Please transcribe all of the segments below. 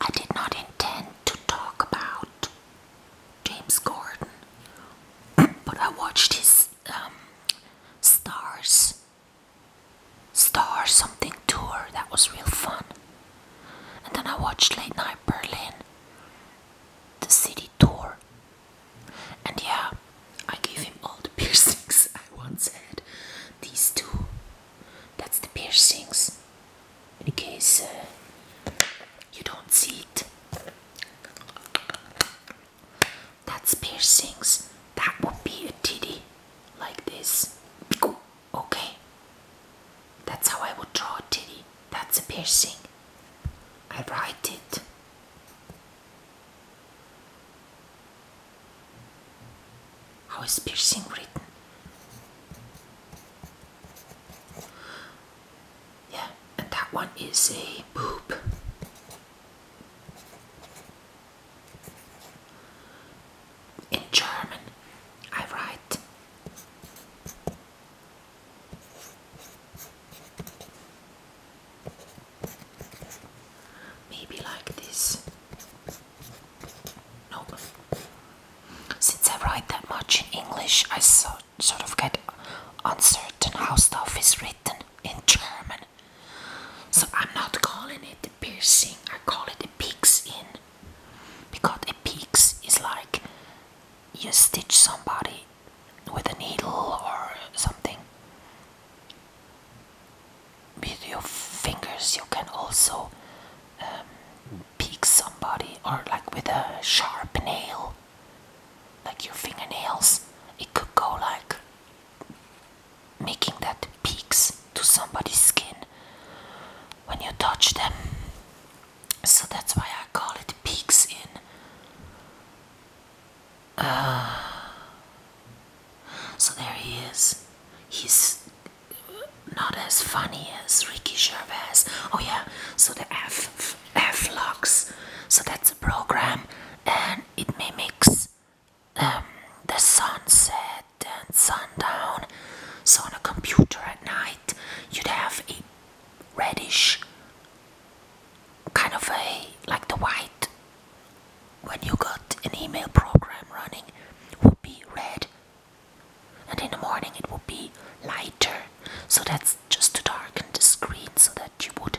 I did not intend to talk about James Gordon, but I watched his um, Stars, Star something tour. That was real fun. And then I watched Late Night Berlin, the city tour. And yeah, I gave him all the piercings I once had. These two that's the piercings. In case uh, you don't see it. That's piercings. That would be a titty. Like this. Okay. That's how I would draw a titty. That's a piercing. I write it. How is piercing written? Yeah, and that one is a boob. In German, I write. Maybe like this. Since I write that much in English, I sort of get uncertain how stuff is written in German. So I'm not calling it a piercing, I call it a peeks in. Because a peeks is like you stitch somebody with a needle or something with your fingers you can also um, peek somebody or like with a sharp nail like your fingernails it could go like making that peaks to somebody's skin when you touch them so that's why I call it peaks in ah. so there he is he's not as funny as Ricky Gervais. Oh yeah, so the F F locks. So that's a program, and it mimics um, the sunset and sundown. So on a computer at night, you'd have a reddish kind of a like the white when you got an email program running would be red and in the morning it would be lighter so that's just to darken the screen so that you would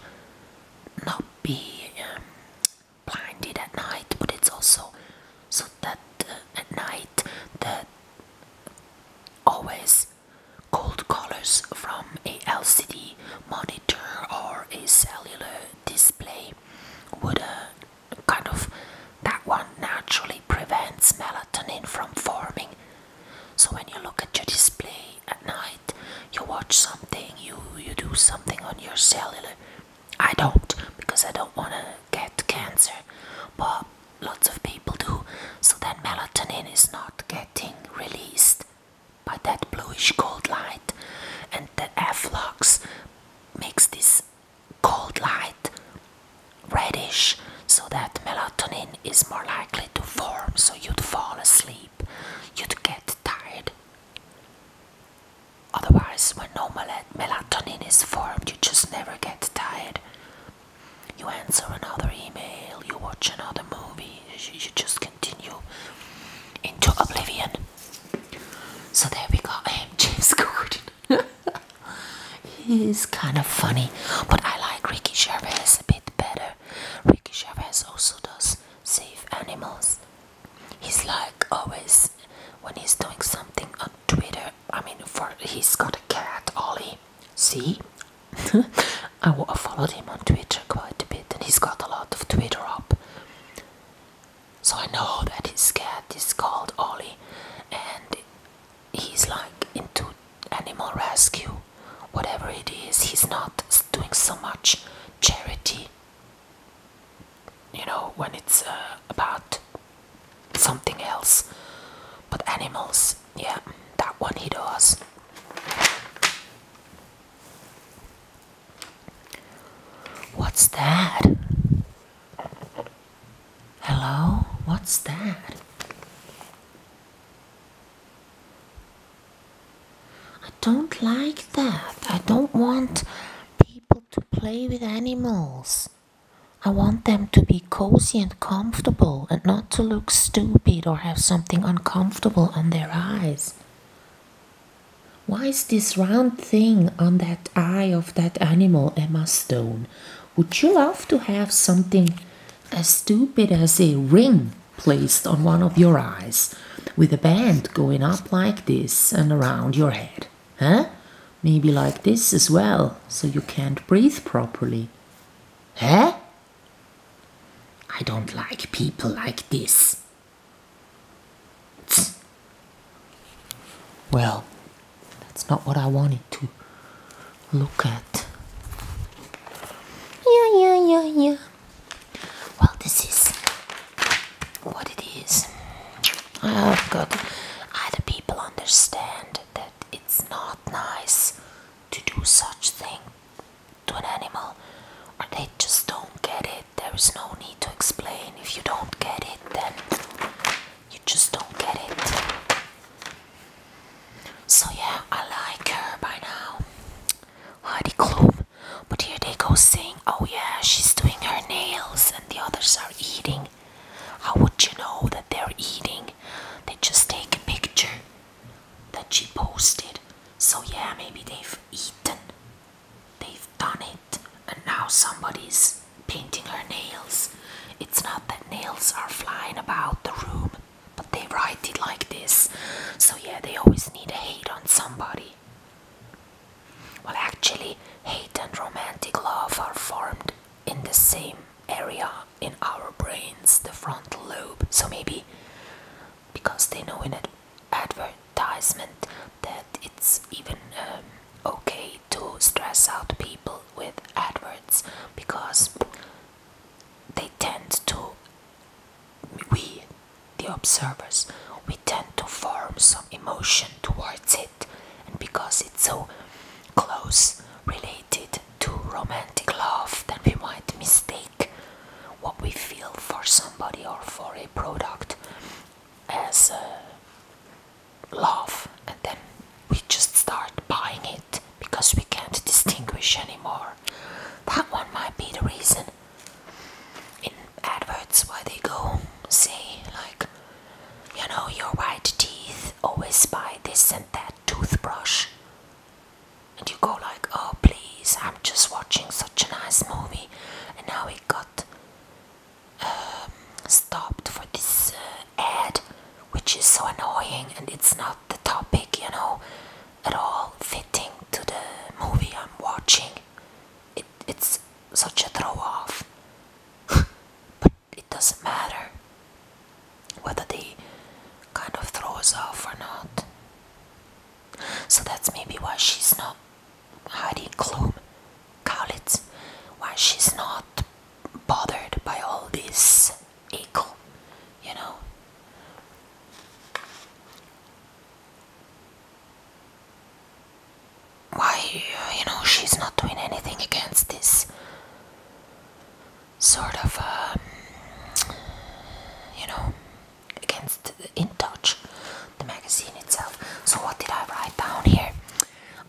not be um, blinded at night but it's also so that uh, at night the always cold colors from a LCD monitor or a cellular display would uh, kind of that one naturally prevents melatonin from forming. So when you look at your display at night, you watch something, you you do something on your cellular. I don't because I don't want to get cancer, but lots of people do. So then melatonin is not getting released by that bluish gold light, and the efflux makes this cold light reddish so that melatonin is more likely to form so you'd fall asleep you'd get tired otherwise when no melatonin is formed you just never get tired you answer another email you watch another movie you just continue into oblivion so there we go. James Corden. He's kind of funny, but I like Ricky Gervais a bit better. Ricky Gervais also does save animals. He's like always when he's doing something on Twitter. I mean, for he's got a cat, Ollie. See, I followed him on Twitter quite a bit, and he's got a lot of Twitter up. So I know that his cat is called Ollie, and he's like into animal rescue. Whatever it is, he's not doing so much charity. You know, when it's uh, about something else, but animals, yeah, that one he does. What's that? Hello? What's that? I don't like that. I don't want people to play with animals. I want them to be cozy and comfortable and not to look stupid or have something uncomfortable on their eyes. Why is this round thing on that eye of that animal, Emma Stone? Would you love to have something as stupid as a ring placed on one of your eyes with a band going up like this and around your head? Huh? Maybe like this as well, so you can't breathe properly. Huh? I don't like people like this, well, that's not what I wanted to look at. Yeah, yeah, yeah, yeah. Well, this is what it is. I've oh, got other people understand that it's not nice to do such thing to an animal, or they just don't get it. There is no need to explain. If you don't get it, then you just don't get it. So, yeah, I like her by now. Heidi Klum. But here they go saying, oh, yeah, she's doing her nails and the others are eating. How would you know that they're eating? They just take a picture that she posted. So, yeah, maybe they've eaten. They've done it, and now somebody's painting her nails. It's not that nails are flying about the room, but they write it like this. So, yeah, they always need hate on somebody. Well, actually, hate and romantic love are formed in the same area in our brains, the frontal lobe. So, maybe because they know in ad advertisement that it's even um, okay to stress out people with adverts because they tend to we the observers we tend to form some emotion towards it and because it's so close related to romantic love that we might mistake what we feel for somebody or for a product as love and then we just start buying it because we can't distinguish anymore. That one might be the reason in adverts why they go say like you know your white teeth always buy this and that toothbrush and you go like oh please I'm just watching such a nice movie and now it got um, stopped for this uh, ad, which is so annoying and it's not the topic, you know, at all fitting to the movie I'm watching. it's such a throw off. but it doesn't matter whether they kind of throw us off or not. So that's maybe why she's not Heidi Klum Kaulitz why she's not bothered by all this equal, you know. Why, you know, she's not doing anything against this sort of, um, you know, against in touch the magazine itself so what did i write down here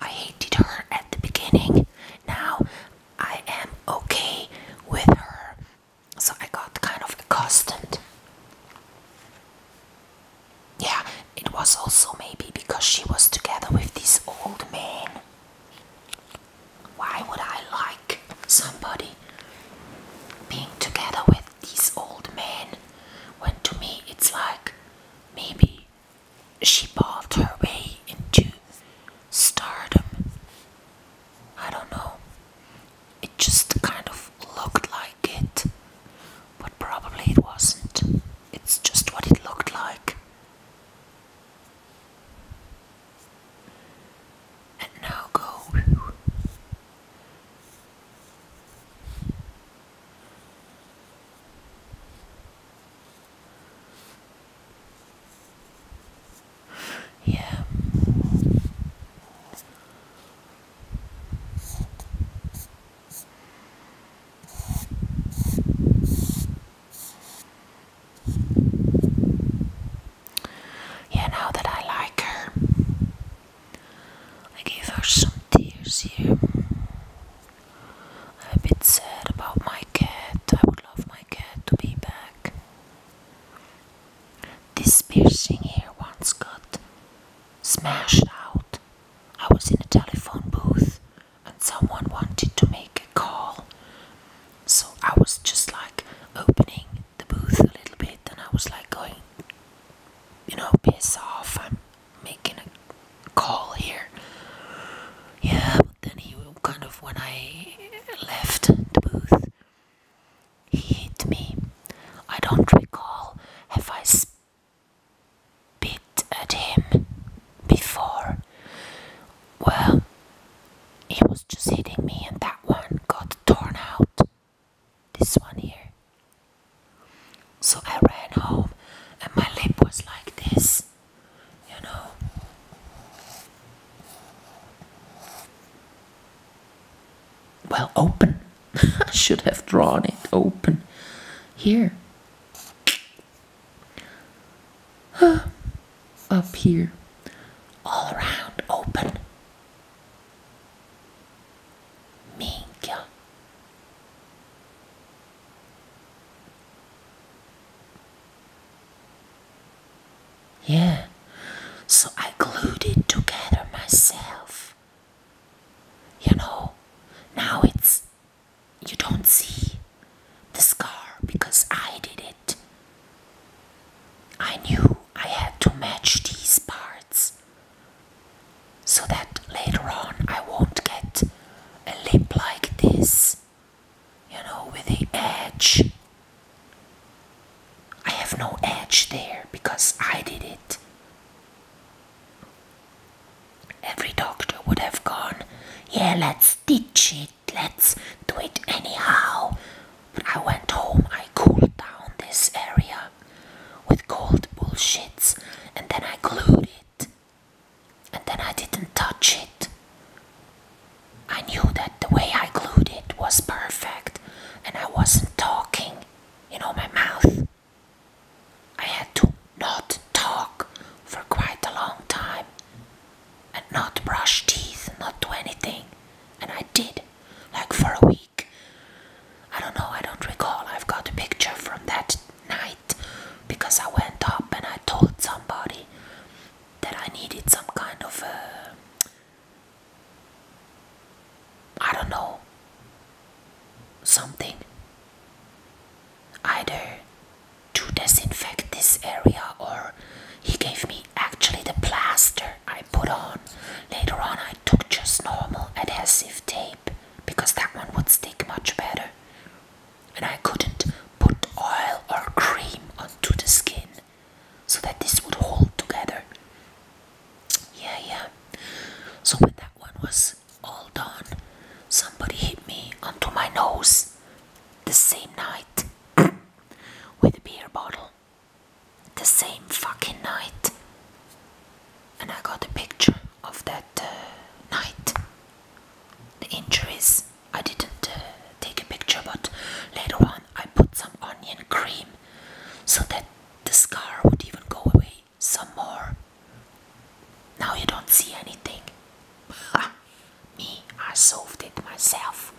i hated her at the beginning now i am okay with her so i got kind of accustomed yeah it was also maybe because she was together with this old man why would i like somebody being together with these old men went to me it's like maybe she bought her way into stardom i don't know it just kind of looked like it but probably it wasn't it's just what it looked like and now go yeah. Yeah, now that I like her, I gave her some tears here. I'm a bit sad about my cat. I would love my cat to be back. This piercing here once got smashed out. I was in a telephone booth and someone wanted to make a call. So I was just like opening the booth a little bit and I was like going you know, piss off. I'm making a call here. Yeah, but then he kind of, when I left the booth, he hit me. I don't recall if I spit at him before. Well, he was just hitting me, and that one got torn out. This one here. So I ran home and my lip was like this, you know. Well, open. I should have drawn it open. Here. Up here. All around open. Minchia. Yeah, so I glued it together myself. You know, now it's. You don't see the scar because I did it. I knew I had to match these parts so that later on I won't get a lip like this, you know, with a edge. I have no edge there because I did it. Every doctor would have gone, yeah, let's stitch it, let's do it anyhow. I went home, I cooled down this area with cold bullshits, and then I glued it, and then I didn't touch it. I knew that the way I glued it was perfect, and I wasn't talking, you know, my mouth. I had to not talk for quite a long time, and not brush teeth, not do anything, and I did like for a week. I don't know, I don't recall. I've got a picture from that night because I went up and I told somebody that I needed some kind of uh, I don't know something either to disinfect this area or he gave me actually the plaster I put on Later on, I took just normal adhesive tape because that one would stick much better. And I couldn't put oil or cream onto the skin so that this would hold together. Yeah, yeah. So when that one was all done, somebody hit me onto my nose the same night with a beer bottle the same fucking night. And I got a picture of that uh, night. The injuries, I didn't uh, take a picture, but later on I put some onion cream so that the scar would even go away some more. Now you don't see anything. Me, I solved it myself.